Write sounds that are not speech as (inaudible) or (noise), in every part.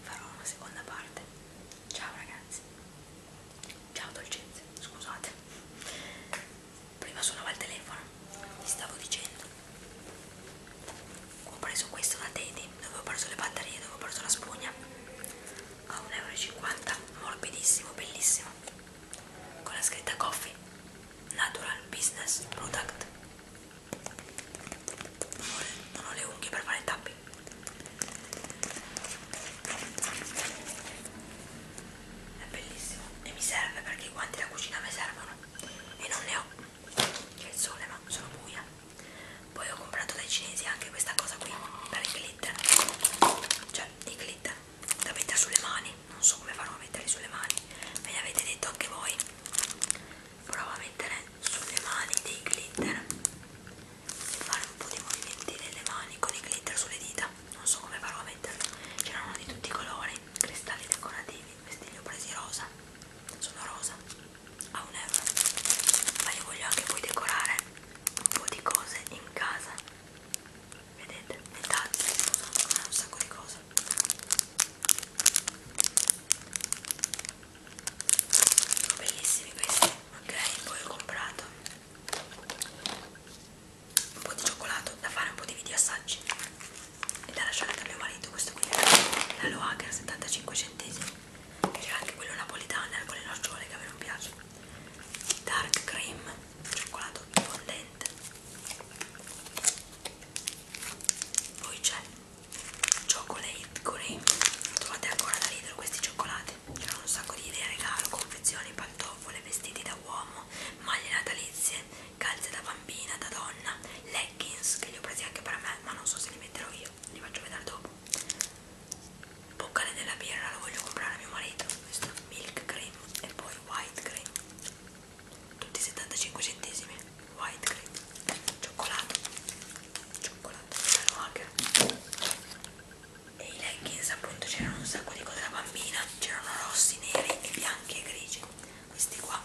farò una seconda parte ciao ragazzi ciao dolcezze scusate prima suonava il telefono vi stavo dicendo ho preso questo da Teddy dove ho preso le batterie dove ho preso la spugna a 1,50 euro morbidissimo bellissimo con la scritta coffee natural business product non ho le unghie per fare tappi è bellissimo e mi serve perché i guanti da cucina mi servono e non ne ho c'è il sole ma sono buia poi ho comprato dai cinesi anche questa cosa qui per i glitter cioè i glitter da mettere sulle mani non so come farò a metterli sulle mani me li avete detto anche voi prova a mettere sulle mani dei glitter e fare un po' di movimenti nelle mani con i glitter sulle dita non so come farò a metterlo c'erano di tutti i colori cristalli decorativi questi li ho presi rosa sono rosa a un euro ma io voglio anche poi decorare un po' di cose in casa vedete le tazze sono un sacco di cose bellissimi questi ok poi ho comprato un po' di cioccolato da fare un po' di video assaggi e da lasciare da mio marito questo qui la Loager 75 centesimi c'era anche quello napolitano con le nocciole che a me non piace dark cream cioccolato fondente poi c'è Chocolate Cream trovate ancora da Lidl questi cioccolati c'erano un sacco di idee, regalo, confezioni, pantofole, vestiti da uomo maglie natalizie, calze da bambina, da donna leggings che li ho presi anche per me ma non so se li metterò io, li faccio vedere dopo boccale della birra, lo voglio comprare a mio marito questo milk cream e poi white cream tutti 75 centesimi white cream cioccolato cioccolato erano anche e i leggings appunto c'erano un sacco di cose da bambina c'erano rossi, neri e bianchi e grigi questi qua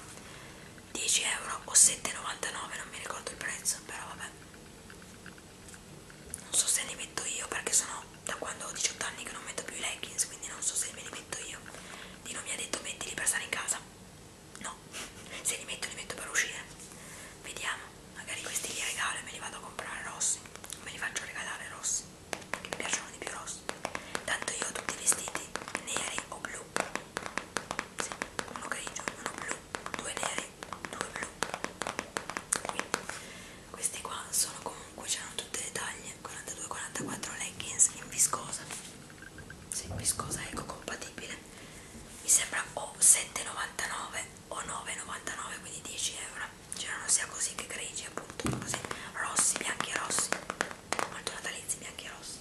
10 euro o 7,99 non mi ricordo il prezzo però vabbè non so se li metto io perché sono da quando ho 18 anni che non metto più i leggings, quindi non so se me li metto io. Dino mi ha detto mettili per stare in casa. No, (laughs) se li metto li metto per uscire. Vediamo, magari questi li regalo e me li vado a comprare rossi. Me li faccio regalare rossi, che mi piacciono di più rossi. Tanto io ho tutti i vestiti neri o blu. Sì, uno grigio, uno blu, due neri, due blu. Quindi questi qua sono comunque c'erano tutte le taglie 42-44 leggings in viscosa sì, viscosa ecocompatibile mi sembra o 7,99 o 9,99 quindi 10 euro c'erano sia così che grigi appunto così rossi, bianchi e rossi molto natalizi bianchi e rossi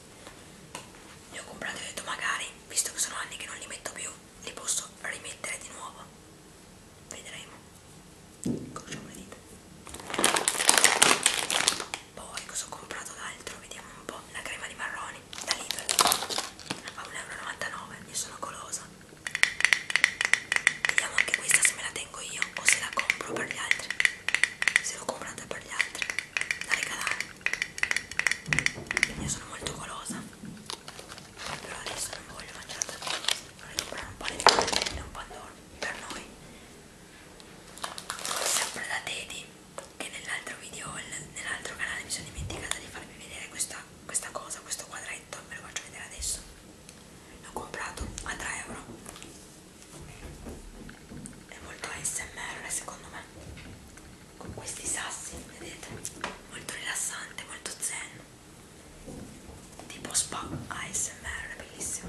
li ho comprati e ho detto magari visto che sono anni che non li metto più li posso rimettere di nuovo vedremo Incrociamo le dita. Poi cosa ho comprato d'altro? Vediamo un po'. La crema di marroni da Lidl a 1,99 euro. Io sono golosa. Vediamo anche questa se me la tengo io o se la compro per gli altri. Se l'ho comprata per gli altri, da regalare. Io sono molto golosa. Però adesso non voglio mangiare tantissimo non è un panettone né un pandoro per noi sempre da Teddy che nell'altro video nell'altro canale mi sono dimenticata di farvi vedere questa, questa cosa questo quadretto ve lo faccio vedere adesso l'ho comprato a 3 euro è molto ASMR secondo me con questi sassi vedete molto rilassante molto zen tipo spa ASMR, è bellissimo.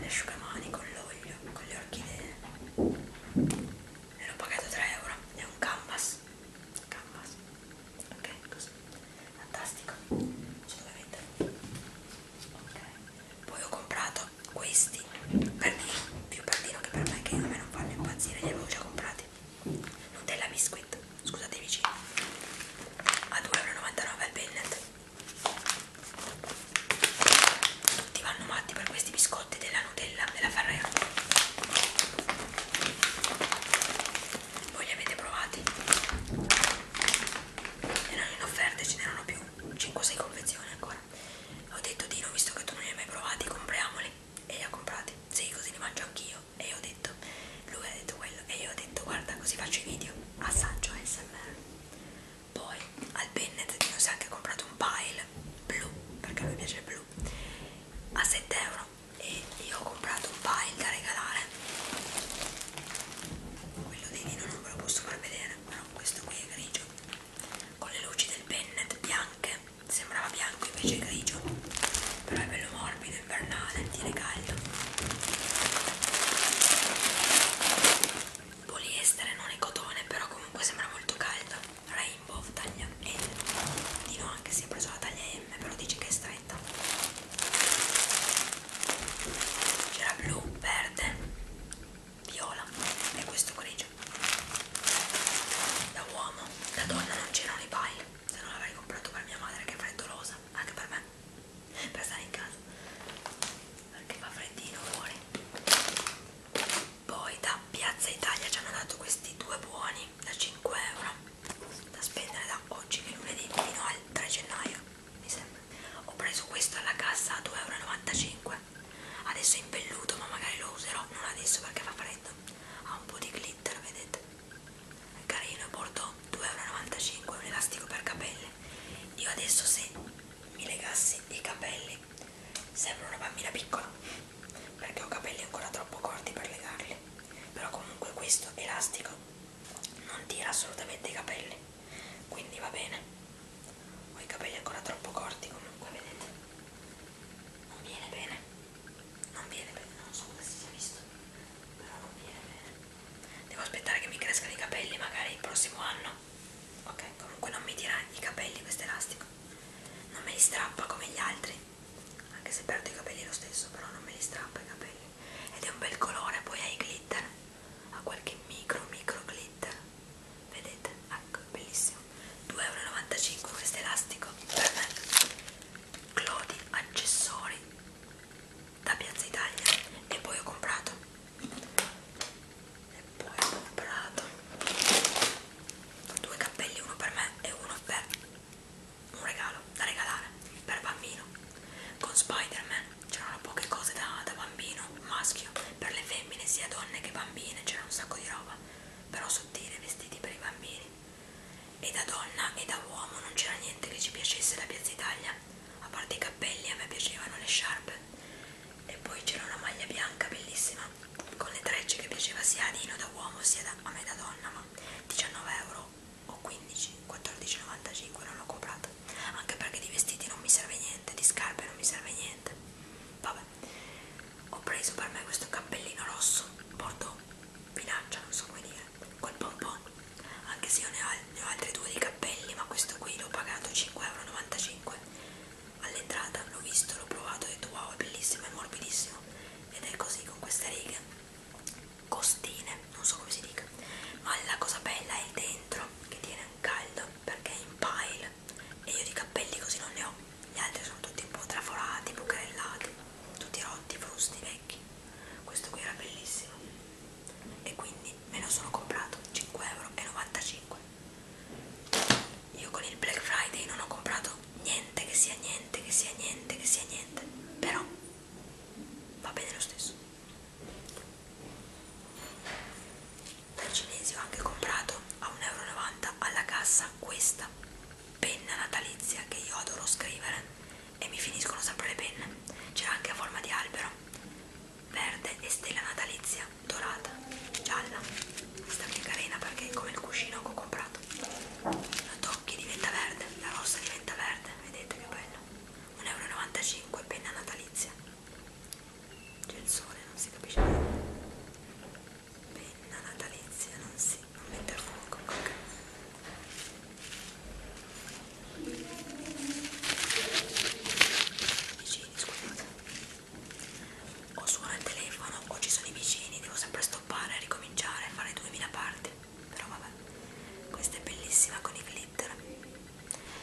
L'asciugamani con l'olio, con le orchidee. E l'ho pagato 3 euro. È un canvas. Canvas. Ok, così. Fantastico. Assolutamente. Ok. Poi ho comprato questi. Perdino, più perdino che per me, che a me non fanno impazzire, li avevo già comprati biscotti Nutella Biscuit, scusate vicini a 2,99€ al Bennett tutti vanno matti per questi biscotti della Nutella, della Ferrero voi li avete provati? erano in offerta ce n'erano più 5-6 confezioni ancora ho detto Dino visto che tu non li hai mai provati compriamoli e li ha comprati sì così li mangio anch'io e io ho detto, lui ha detto quello e io ho detto guarda così faccio i video, assaggio ASMR. Poi al Bennett si è anche comprato un pile blu, perché a me piace il blu, a 7 euro e io ho comprato un pile da regalare. Quello di Dino non ve lo posso far vedere, però questo qui è grigio con le luci del Bennett bianche sembrava bianco invece è grigio però è bello morbido invernale tiene caldo poliestere non è cotone però comunque sembra molto caldo rainbow taglia L Dino anche si è preso la taglia M però dice che è stretta c'era blu verde viola e questo grigio da uomo da donna non c'erano i pile se non l'avrei comprato per mia madre che è freddolosa, anche per me, per stare in casa, perché fa freddino fuori. Poi da Piazza Italia ci hanno dato questi due buoni da 5 euro da spendere da oggi che lunedì fino al 3 gennaio mi sembra ho preso questo alla cassa a 2,95 euro adesso è impelluto ma magari lo userò non adesso perché fa freddo ha un po' di glitter glitter, vedete? È carino, bordeaux, 2,95 euro, un elastico per capelli. Io adesso se mi legassi i capelli sembro una bambina piccola, perché ho capelli ancora troppo corti per legarli. Però comunque questo elastico non tira assolutamente i capelli, quindi va bene. Ho i capelli ancora troppo corti comunque, vedete? Non viene bene non viene bene, non so se si sia visto, però non viene bene. Devo aspettare che mi crescano i capelli magari il prossimo anno. Ok, comunque non mi tira i capelli questo elastico. Non me li strappa come gli altri, anche se perdo i capelli lo stesso, però non me li strappa i capelli. Ed è un bel colore, poi ha i glitter, ha qualche micro micro glitter. Vedete? Ecco, bellissimo. 2,95€ questo elastico per me Clodi accessori da Piazza Italia e poi ho comprato e poi ho comprato due cappelli uno per me e uno per un regalo da regalare per bambino con Spider-Man c'erano poche cose da, da bambino maschio per le femmine sia donne che bambine c'era un sacco di roba però sottile, vestiti per i bambini. E da donna e da uomo non c'era niente che ci piacesse da Piazza Italia, a parte i cappelli, a me piacevano le sciarpe. E poi c'era una maglia bianca bellissima, con le trecce che piaceva sia a Dino da uomo sia da, a me da donna, ma 19 euro o 15, 14,95 non l'ho comprata, anche perché di vestiti non mi serve niente, di scarpe non mi serve niente. Vabbè, ho preso per me questo cappellino rosso bordeaux vinaccia non so come dire col pompon anche se io ne ho, ne ho altri due di cappelli ma questo qui l'ho pagato 5,95€ all'entrata l'ho visto l'ho provato ho detto wow è bellissimo è morbidissimo ed è così con queste righe costine non so come si dica ma la cosa bella è il dentro che tiene un caldo perché è in pile e io di capelli così non ne ho, gli altri sono tutti un po' traforati, bucarellati, tutti rotti, frusti, vecchi. Questo qui era bellissimo e quindi me lo sono comprato 5,95€. Io con il Black Friday non ho comprato niente che sia niente, che sia niente, che sia niente, però va bene lo stesso dal cinese ho anche comprato a 1,90 euro alla cassa questa penna natalizia che io adoro scrivere e mi finiscono sempre le penne c'era anche a forma di albero verde e stella natalizia dorata gialla questa che è carina perché è come il cuscino che ho comprato la tocchi diventa verde la rossa diventa verde vedete che bello 1,95 euro penna natalizia c'è il sole, non si capisce niente. Penna natalizia, non si, non mette a fuoco, ok. Vicini, scusate. O suona il telefono, o ci sono i vicini, devo sempre stoppare, ricominciare, fare 2000 parti. Però vabbè, questa è bellissima con i clip glitter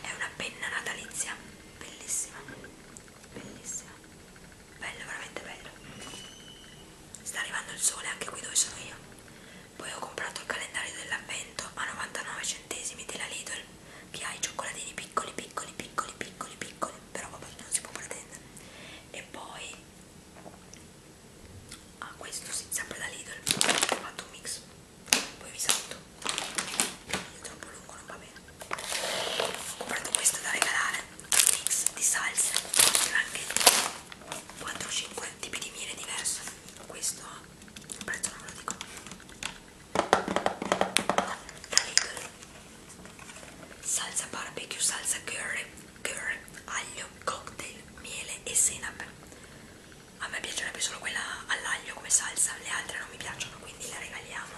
è una penna natalizia bellissima bellissima bello veramente bello sta arrivando il sole anche qui dove sono io poi ho comprato il calendario dell'avvento a 99 centesimi della Lidl che ha i cioccolatini piccoli piccoli piccoli piccoli piccoli però vabbè non si può pretendere e poi a ah, questo si sempre da Lidl ho fatto un mix poi vi saluto è troppo lungo non va bene ho comprato questo da regalare mix di salse Possono anche 4 o 5 tipi di miele diverse questo il prezzo non ve lo dico da Lidl salsa barbecue salsa curry curry aglio cocktail miele e senape a me piacerebbe solo quella all'aglio come salsa, le altre non mi piacciono quindi la regaliamo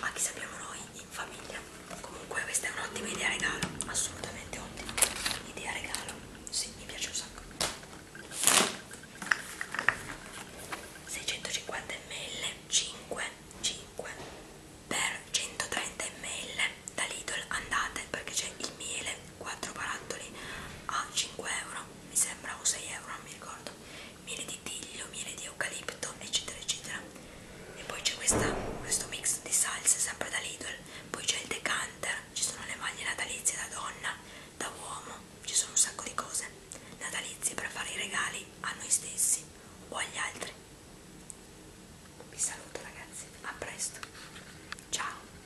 a chi sappiamo noi in famiglia comunque questa è un'ottima idea regalo assolutamente ottima idea regalo sì, mi piace un sacco 650 ml 5 5 per 130 ml da Lidl andate perché c'è il miele 4 barattoli a 5 euro mi sembra o 6 euro, non mi ricordo, miele di tiglio, miele di eucalipto, eccetera, eccetera. E poi c'è questo mix di salse, sempre da Lidl, poi c'è il decanter, ci sono le maglie natalizie da donna, da uomo, ci sono un sacco di cose natalizie per fare i regali a noi stessi o agli altri. Vi saluto ragazzi, a presto, ciao!